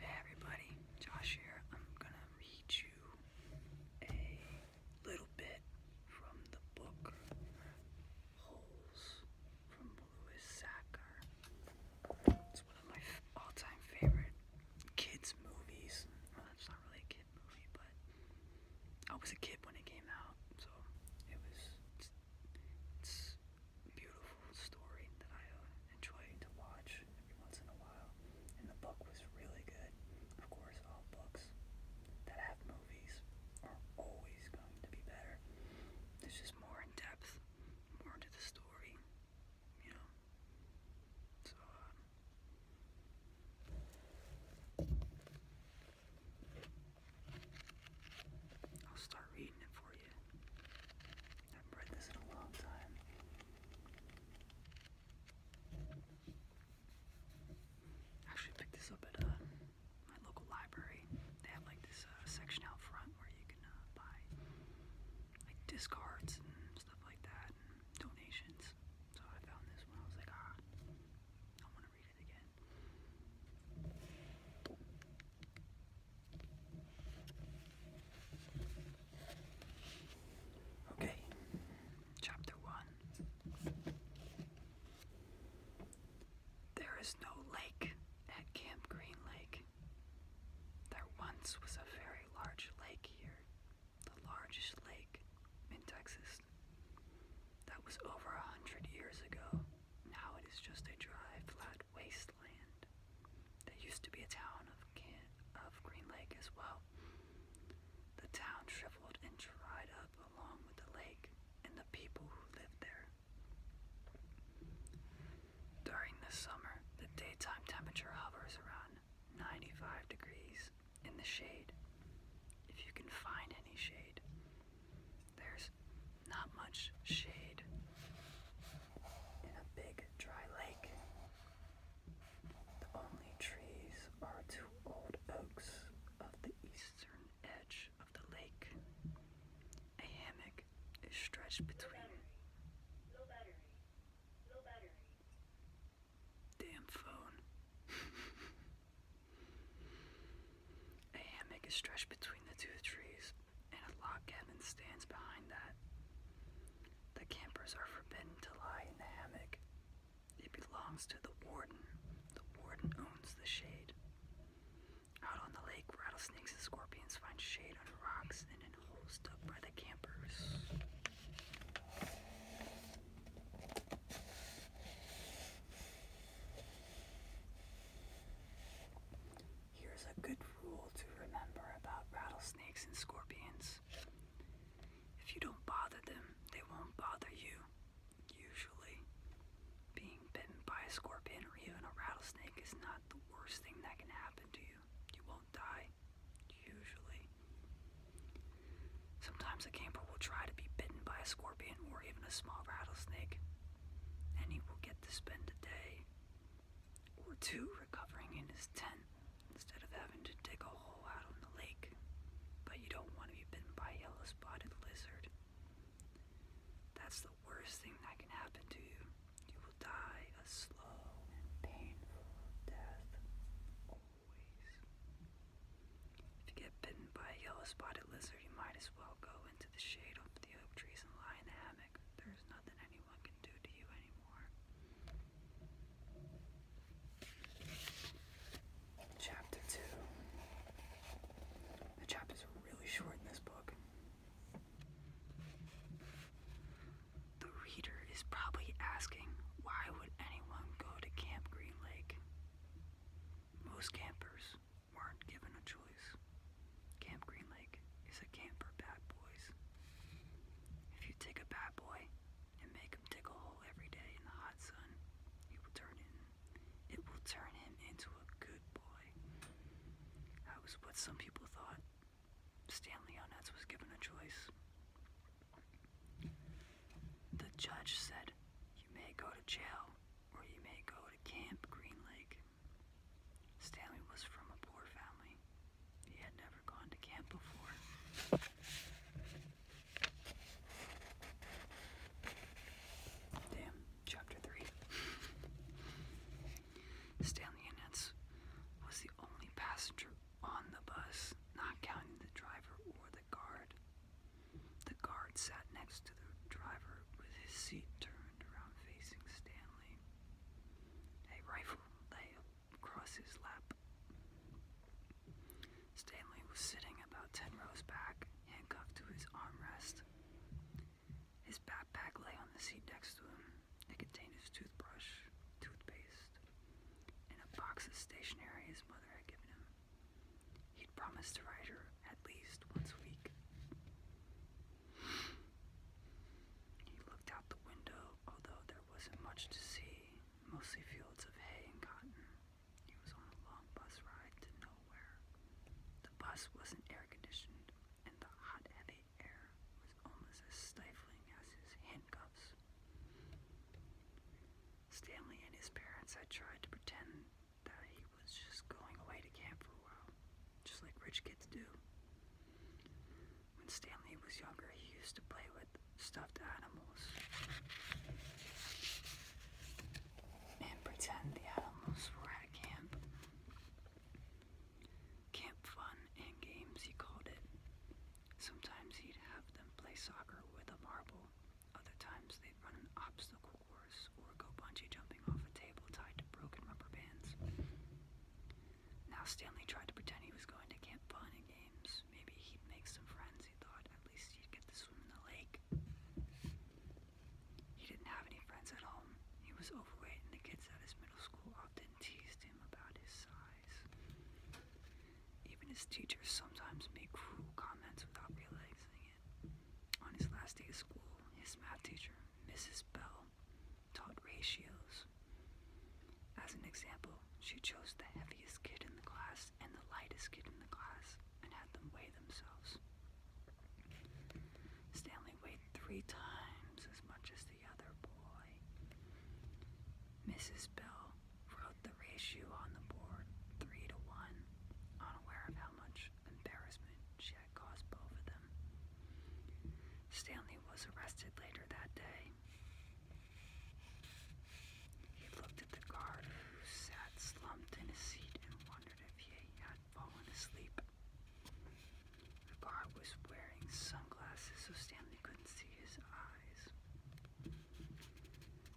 everybody, Josh here. I'm gonna read you a little bit from the book Holes from Louis Sacker. It's one of my all-time favorite kids movies. Well, it's not really a kid movie, but I was a kid when it came out, so it was beautiful story that I uh, enjoy to watch every once in a while. And the book was really good. Of course, all books that have movies are always going to be better. There's just more in depth, more to the story, you know. So, um, I'll start reading it for you. I have read this in a long time. Actually picked this up at uh, my local library. They have like this uh, section out front where you can uh, buy like discards and stuff like that, and donations. So I found this one. I was like, ah, I want to read it again. Okay, chapter one. There is no lake at Camp Green Lake. There once was a very large lake here, the largest lake in Texas. That was over a hundred years ago. Now it is just a dry, flat waste wasteland. There used to be a town of, of Green Lake as well. The town shriveled and dried up along with the lake and the people who lived there. During the summer, the daytime temperature hovers around 95 degrees in the shade, if you can find any shade. There's not much shade in a big dry lake. The only trees are two old oaks of the eastern edge of the lake. A hammock is stretched between. Damn phone. A hammock is stretched between the two trees and a lock cabin stands behind that. The campers are forbidden to lie in the hammock. It belongs to the warden. The warden owns the shade. Out on the lake, rattlesnakes and scorpions find shade on rocks and in holes dug by the campers. Here's a good rule to remember about rattlesnakes and scorpions. If you don't bother them, they won't bother you. Usually, being bitten by a scorpion or even a rattlesnake is not the worst thing that can happen to you. You won't die, usually. Sometimes a camper will try to be bitten by a scorpion or even a small rattlesnake, and he will get to spend a day or two recovering in his tent instead of having to dig a hole out on the lake. But you don't want to be bitten by a yellow spotted lizard. That's the worst thing that can happen to you. You will die a slow and painful death. Always. If you get bitten by a yellow spotted lizard, you might as well go into the shade of the oak trees and lie in the hammock. Chapter 2. The chapters are really short in this book. The reader is probably asking, why would anyone go to Camp Green Lake? Most campers weren't given a choice. Camp Green Lake is a camp for bad boys. If you take a bad boy and make him dig a hole every day in the hot sun, he will turn in. It will turn him into a good boy. That was what some people thought. Stanley Onetz was given a choice. The judge said, You may go to jail or you may go to Camp Green Lake. Stanley was from a poor family. He had never gone to camp before. Damn, chapter 3. Stanley Annette was the only passenger on the bus, not counting the driver or the guard. The guard sat next to the driver with his seat turned around facing Stanley, a rifle lay across his lap. Stanley was sitting about ten rows back, handcuffed to his armrest. His backpack lay on the seat next to him. It contained his toothbrush, toothpaste, and a box of stationery his mother had given him. He'd promised to write her at least once a week. He looked out the window, although there wasn't much to see, mostly fields of hay and cotton. He was on a long bus ride to nowhere. The bus wasn't air conditioned, and the hot, heavy air was almost as stifling as his handcuffs. Stanley and his parents had tried to pretend that he was just going away to camp for a while, just like rich kids do. When Stanley was younger, he used to play with stuffed animals and pretend the animals were at camp. Camp fun and games, he called it. Sometimes he'd have them play soccer with a marble, other times they'd run an obstacle horse or go bungee jumping off a table tied to broken rubber bands. Now Stanley tried to pretend he was going to Camp Fun and Games. Maybe he'd make some friends, he thought. At least he'd get to swim in the lake. He didn't have any friends at home. He was overweight, and the kids at his middle school often teased him about his size. Even his teachers sometimes made cruel comments without realizing on his last day of school, his math teacher, Mrs. Bell, taught ratios. As an example, she chose the heaviest kid in the class and the lightest kid in the class and had them weigh themselves. Stanley weighed three times as much as the other boy. Mrs. Bell wrote the ratio on the board three to one, unaware of how much embarrassment she had caused both of them. Stanley was arrested later that day. He looked at the guard who sat slumped in his seat and wondered if he had fallen asleep. The guard was wearing sunglasses so Stanley couldn't see his eyes.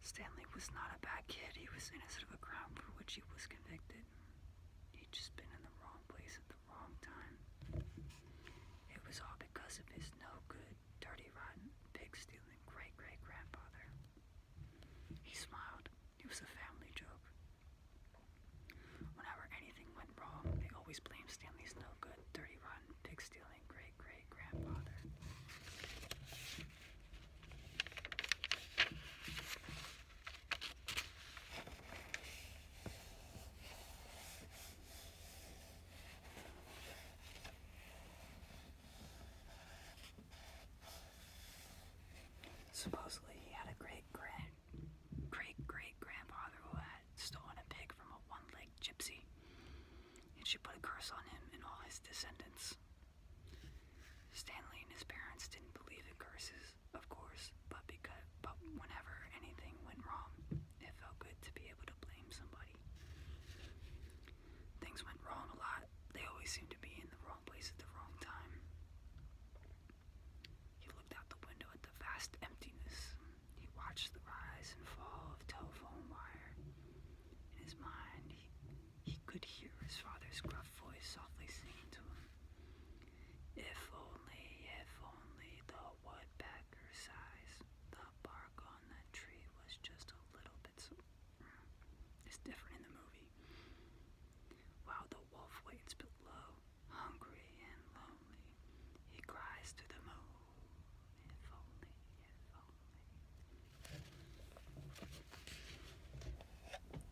Stanley was not a bad kid. He was innocent of a crime for which he was convicted. He'd just been in the wrong place at the wrong time. It was all because of his no good, dirty, rotten, pig stealing great great grandfather. He smiled. It was a family joke. Whenever anything went wrong, they always blamed Stanley's no good, dirty, rotten, pig stealing great great grandfather. Supposedly he had a great great great great grandfather who had stolen a pig from a one-legged gypsy, and she put a curse on him and all his descendants. Stanley and his parents didn't believe in curses, of course, but because but whenever anything went wrong, it felt good to be able to blame somebody. Things went wrong a lot. They always seemed to be in the wrong place at the wrong time. He looked out the window at the vast emptiness. He watched the rise and fall of telephone wire. In his mind, he could hear his father's gruff voice softly saying to him. If only, if only the woodpecker size, the bark on that tree was just a little bit. So it's different in the movie. While the wolf waits below, hungry and lonely, he cries to the moon, only, if only.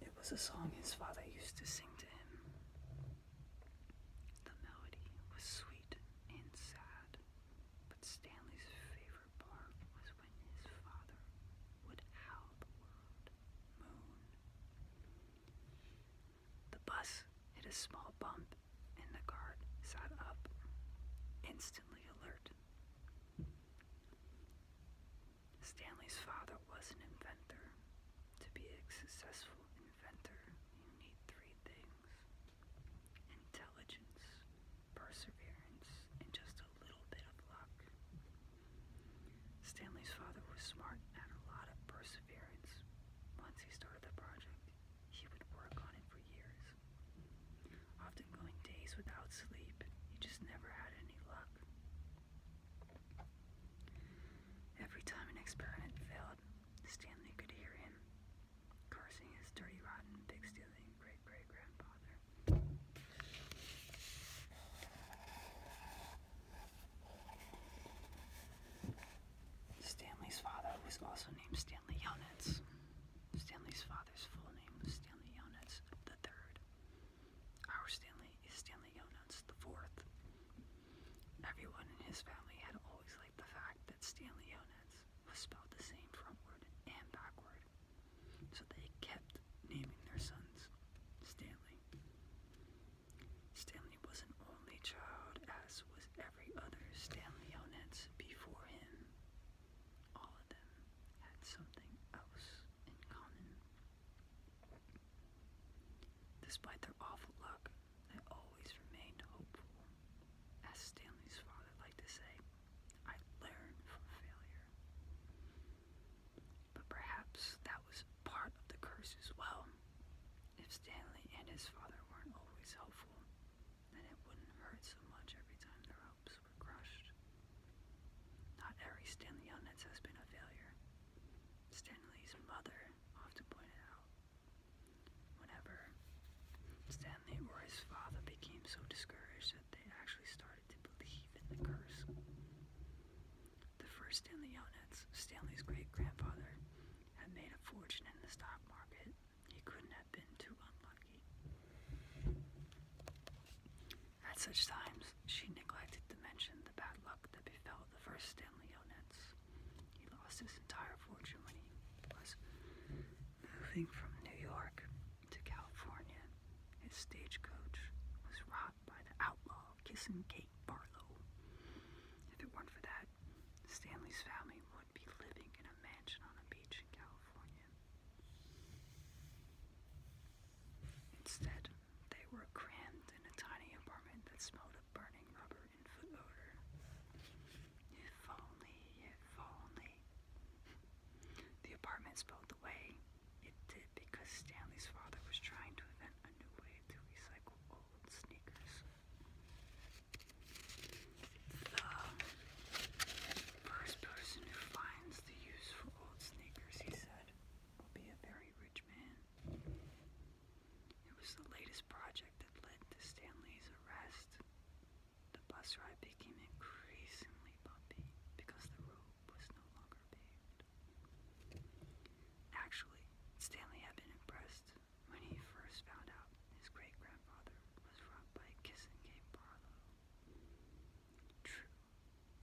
It was a song his father used to sing to him. The melody was sweet and sad, but Stanley's favorite part was when his father would howl the moon. The bus hit a small bump and the guard sat up, instantly alert. Stanley's father was an inventor. To be a successful inventor, you need three things intelligence, perseverance, and just a little bit of luck. Stanley's father was smart and had a lot of perseverance. Once he started the project, he would work on it for years often going days without sleep. You just never had any luck. Every time an experiment failed, Stanley could hear him cursing his dirty, rotten, pig stealing great great grandfather. Stanley's father was also named Stanley Yonitz. Stanley's father's full name was Stanley Yonitz III. Our Stanley is Stanley Yonuts IV. Everyone in his family had always liked the fact that Stanley Yonuts was spelled the same frontward and backward, so they kept naming their sons Stanley. Stanley was an only child, as was every other Stanley Yonets before him, all of them had something else in common. Despite their awful luck, they always remained hopeful. As Stanley's father liked to say, I learned from failure. But perhaps that was part of the curse as well. If Stanley and his father weren't always hopeful, then it wouldn't hurt so much every time their hopes crushed. Not every Stanley Yelnats has been a failure. Stanley's mother often pointed out, whenever Stanley or his father became so discouraged that they actually started to believe in the curse. The first Stanley Yelnats, Stanley's great grandfather, had made a fortune in the stock market. He couldn't been too unlucky. At such times, she neglected to mention the bad luck that befell the first Stanley Yelnats. He lost his entire fortune when he was moving from New York to California. His stagecoach was robbed by the outlaw Kissing Kate Barlow. If it weren't for that, Stanley's family would be living in a mansion on a beach in California. Instead, they were crammed in a tiny apartment that smelled of burning rubber and foot odor. If only, if only. The apartment spelled away. It did because Stanley's father was trying to invent a new way to recycle old sneakers the first person who finds the useful old sneakers, he said, will be a very rich man. It was the latest project that led to Stanley's arrest. The bus ride became increasingly bumpy because the road was no longer paved. Actually, Stanley had been impressed when he first found out his great grandfather was robbed by a kissing game Barlow. True,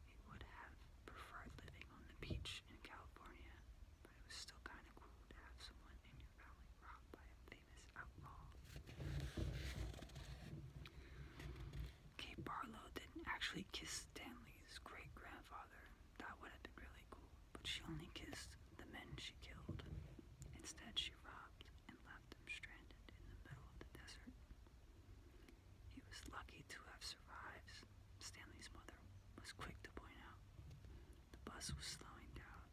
he would have preferred living on the beach in California, but it was still kind of cool to have someone in your family robbed by a famous outlaw. Kate Barlow didn't actually kiss Stanley's great grandfather. That would have been really cool, but she only kissed the men she killed. Instead, she robbed and left him stranded in the middle of the desert. He was lucky to have survived, Stanley's mother was quick to point out. The bus was slowing down.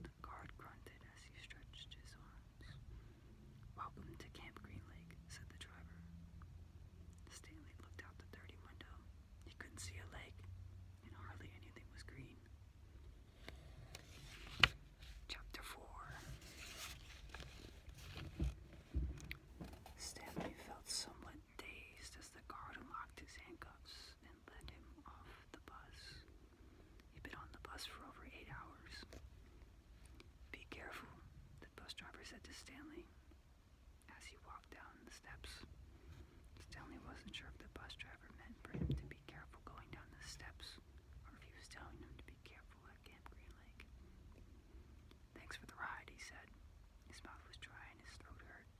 The guard grunted as he stretched his arms. Welcome to Camp Green Lake, said the driver. Stanley looked out the dirty window. He couldn't see a lake, and hardly anything was green. Chapter 4 Stanley felt somewhat dazed as the guard unlocked his handcuffs and led him off the bus. He'd been on the bus for over eight hours. Be careful, the bus driver said to Stanley as he walked down the steps. Stanley wasn't sure if the bus driver meant for him to be be careful going down the steps, or he telling him to be careful at Camp Green Lake. Thanks for the ride, he said. His mouth was dry and his throat hurt.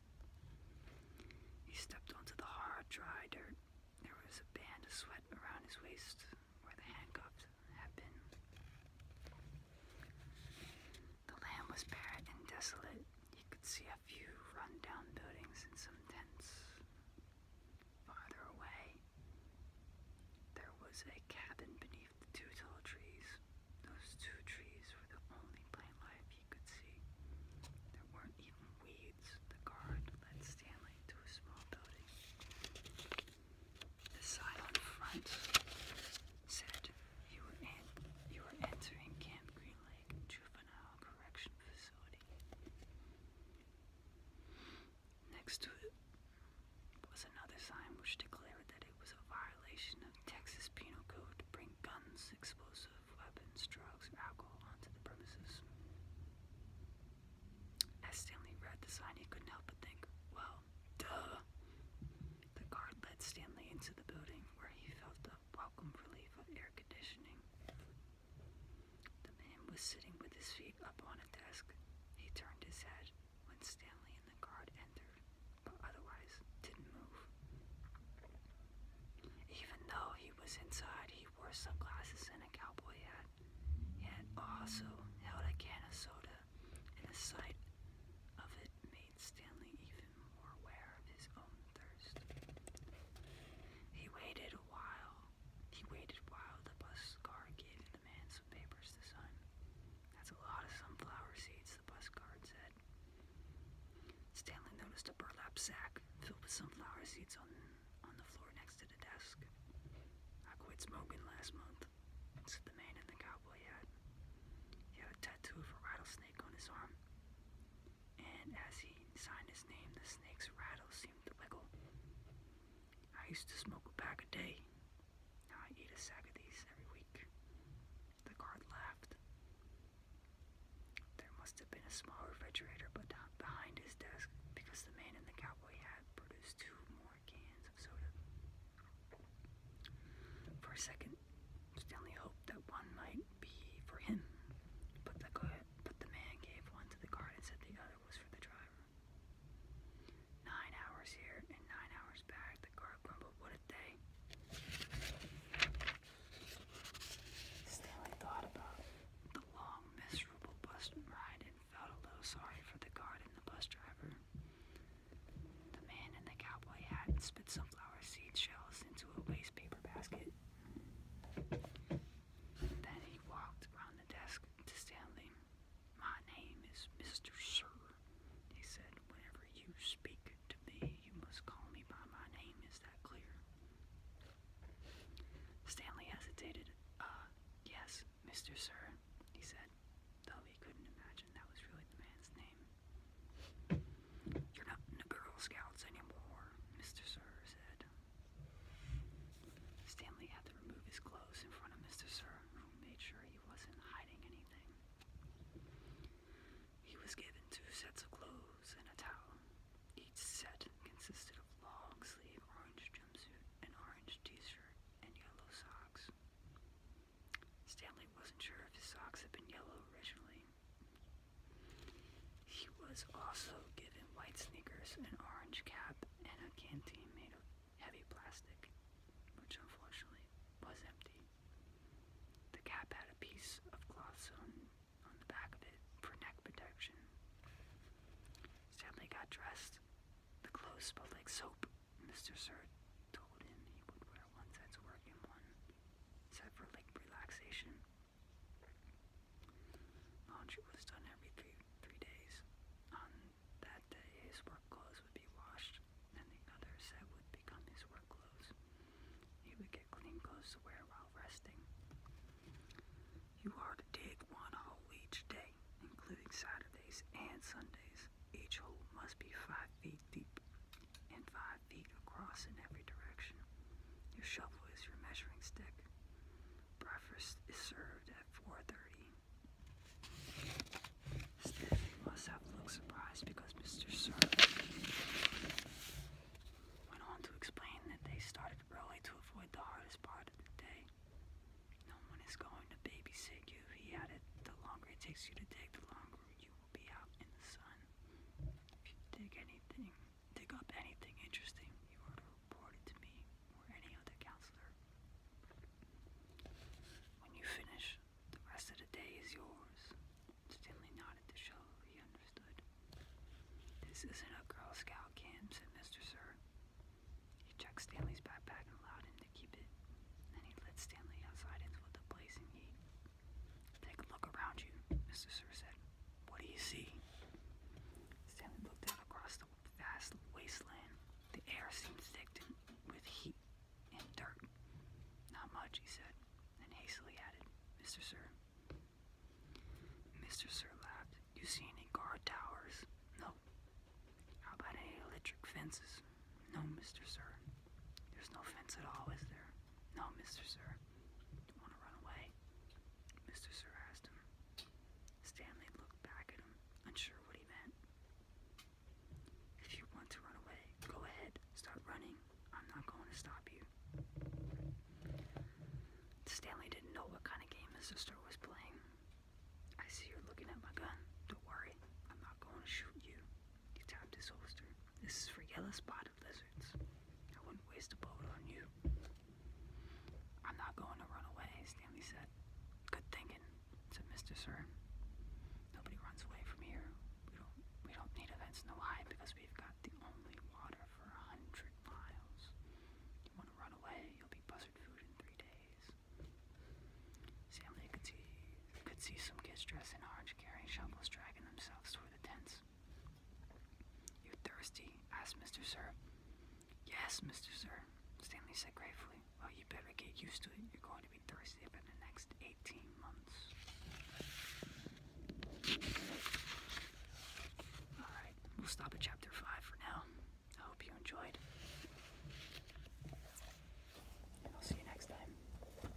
He stepped onto the hard, dry dirt. There was a band of sweat around his waist where the handcuffs had been. The land was barren and desolate. He could see a few run-down buildings and some tents. Farther away, there was a cabin beneath the two tall trees. Those two trees were the only plant life you could see. There weren't even weeds. The guard led Stanley to a small building. The sign on the front said, you were, in, you were entering Camp Green Lake Juvenile Correction Facility. Next to it was another sign which declared that it was a violation of Texas Penal Code to bring guns, explosive weapons, drugs, or alcohol onto the premises. As Stanley read the sign, he couldn't help but think, well, duh. The guard led Stanley into the building where he felt the welcome relief of air conditioning. The man was sitting with his feet up on a desk. He turned his head when Stanley and the guard entered, but otherwise didn't move. Even though he was inside, he wore sunglasses and a cowboy hat. and also held a can of soda, and the sight of it made Stanley even more aware of his own thirst. He waited a while he waited while the bus guard gave the man some papers to sign. That's a lot of sunflower seeds, the bus guard said. Stanley noticed a burlap sack filled with sunflower seeds on, on the floor next to the desk. I quit smoking last month, said the man in the cowboy hat. He had a tattoo of a rattlesnake on his arm. And as he signed his name, the snake's rattle seemed to I used to smoke a pack a day. Now I eat a sack of these every week. The guard laughed. There must have been a small refrigerator but behind his desk because the man in the cowboy hat produced two more cans of soda. For a second, Stanley hoped that one might be for him, but the guard but the man gave one to the guard and said the other was for the driver. Nine hours here and nine hours back, the guard grumbled, what a day. Stanley thought about the long, miserable bus ride and felt a little sorry for the guard and the bus driver. The man in the cowboy hat and spit sunflower seed shells into a waste paper basket. Then he walked around the desk to Stanley. My name is Mr. Sir, he said. Whenever you speak to me, you must call me by my name. Is that clear? Stanley hesitated. Uh, yes, Mr. Sir, he said, though he couldn't imagine that was really the man's name. You're not in the Girl Scouts anymore, Mr. Sir said. Stanley had to remove his clothes in front of Mr. Sir, who made sure he wasn't hiding anything. He was given two sets of clothes and a towel. Each set consisted of long sleeve orange jumpsuit, an orange t-shirt, and yellow socks. Stanley wasn't sure if his socks had been yellow originally, he was also given white sneakers, an orange cap, and a canteen made of heavy plastic, which unfortunately was empty. The cap had a piece of cloth sewn on the back of it for neck protection. Stanley got dressed. The clothes smelled like soap. Mr. Sir told him he would wear one set one set for like relaxation. Laundry oh, was done every three, three days. On that day, his work clothes would be washed, and the other set would become his work clothes. He would get clean clothes to wear while resting. You are to dig one hole each day, including Saturdays and Sundays. Each hole must be five feet deep and five feet across in every direction. Your shovel is your measuring stick. Breakfast is served at 4.30. Stephanie must have looked surprised because Mr. Serve went on to explain that they started early to avoid the hardest part of the day. No one is going to babysit you, he added. The longer it takes you to dig, the longer you will be out in the sun. If you dig anything dig up anything interesting, you were to report it to me or any other counselor. When you finish, the rest of the day is yours. Stanley nodded to show he understood. This isn't a Girl Scout camp, said Mr. Sir. He checked Stanley's backpack and allowed him to keep it. Then he led Stanley outside into the blazing heat. Take a look around you, Mr. Sir said. What do you see? Stanley looked out across the vast wasteland. The air seems thick with heat and dirt. Not much, he said, and hastily added, Mr. Sir. Mr. Sir laughed. You see any guard towers? No. How about any electric fences? No, Mr. Sir. There's no fence at all, is there? No, Mr. Sir. You want to run away? Mr. Sir asked him. Stanley looked back at him, unsure what he meant. If you want to run away, go ahead. Start running. I'm not going to stop you. Stanley didn't know what kind of game his sister was playing. I see you're looking at my gun. Don't worry. I'm not going to shoot you. He tapped his holster. This is for Yellow Spot lizards. I wouldn't waste a bullet on you. I'm not going to run away, Stanley said. Good thinking, It's a mystery, Sir. Nobody runs away from here. We don't we don't need events in the hide because we've got the only water for a hundred miles. You wanna run away, you'll be buzzard food in three days. Stanley could see could see some kids dressed in orange carrying shovels dragging themselves toward the tents you thirsty? asked Mr. Sir. Yes, Mr. Sir, Stanley said gratefully. Well, you better get used to it. You're going to be thirsty for the next 18 months. Alright, we'll stop at chapter 5 for now. I hope you enjoyed. And I'll see you next time.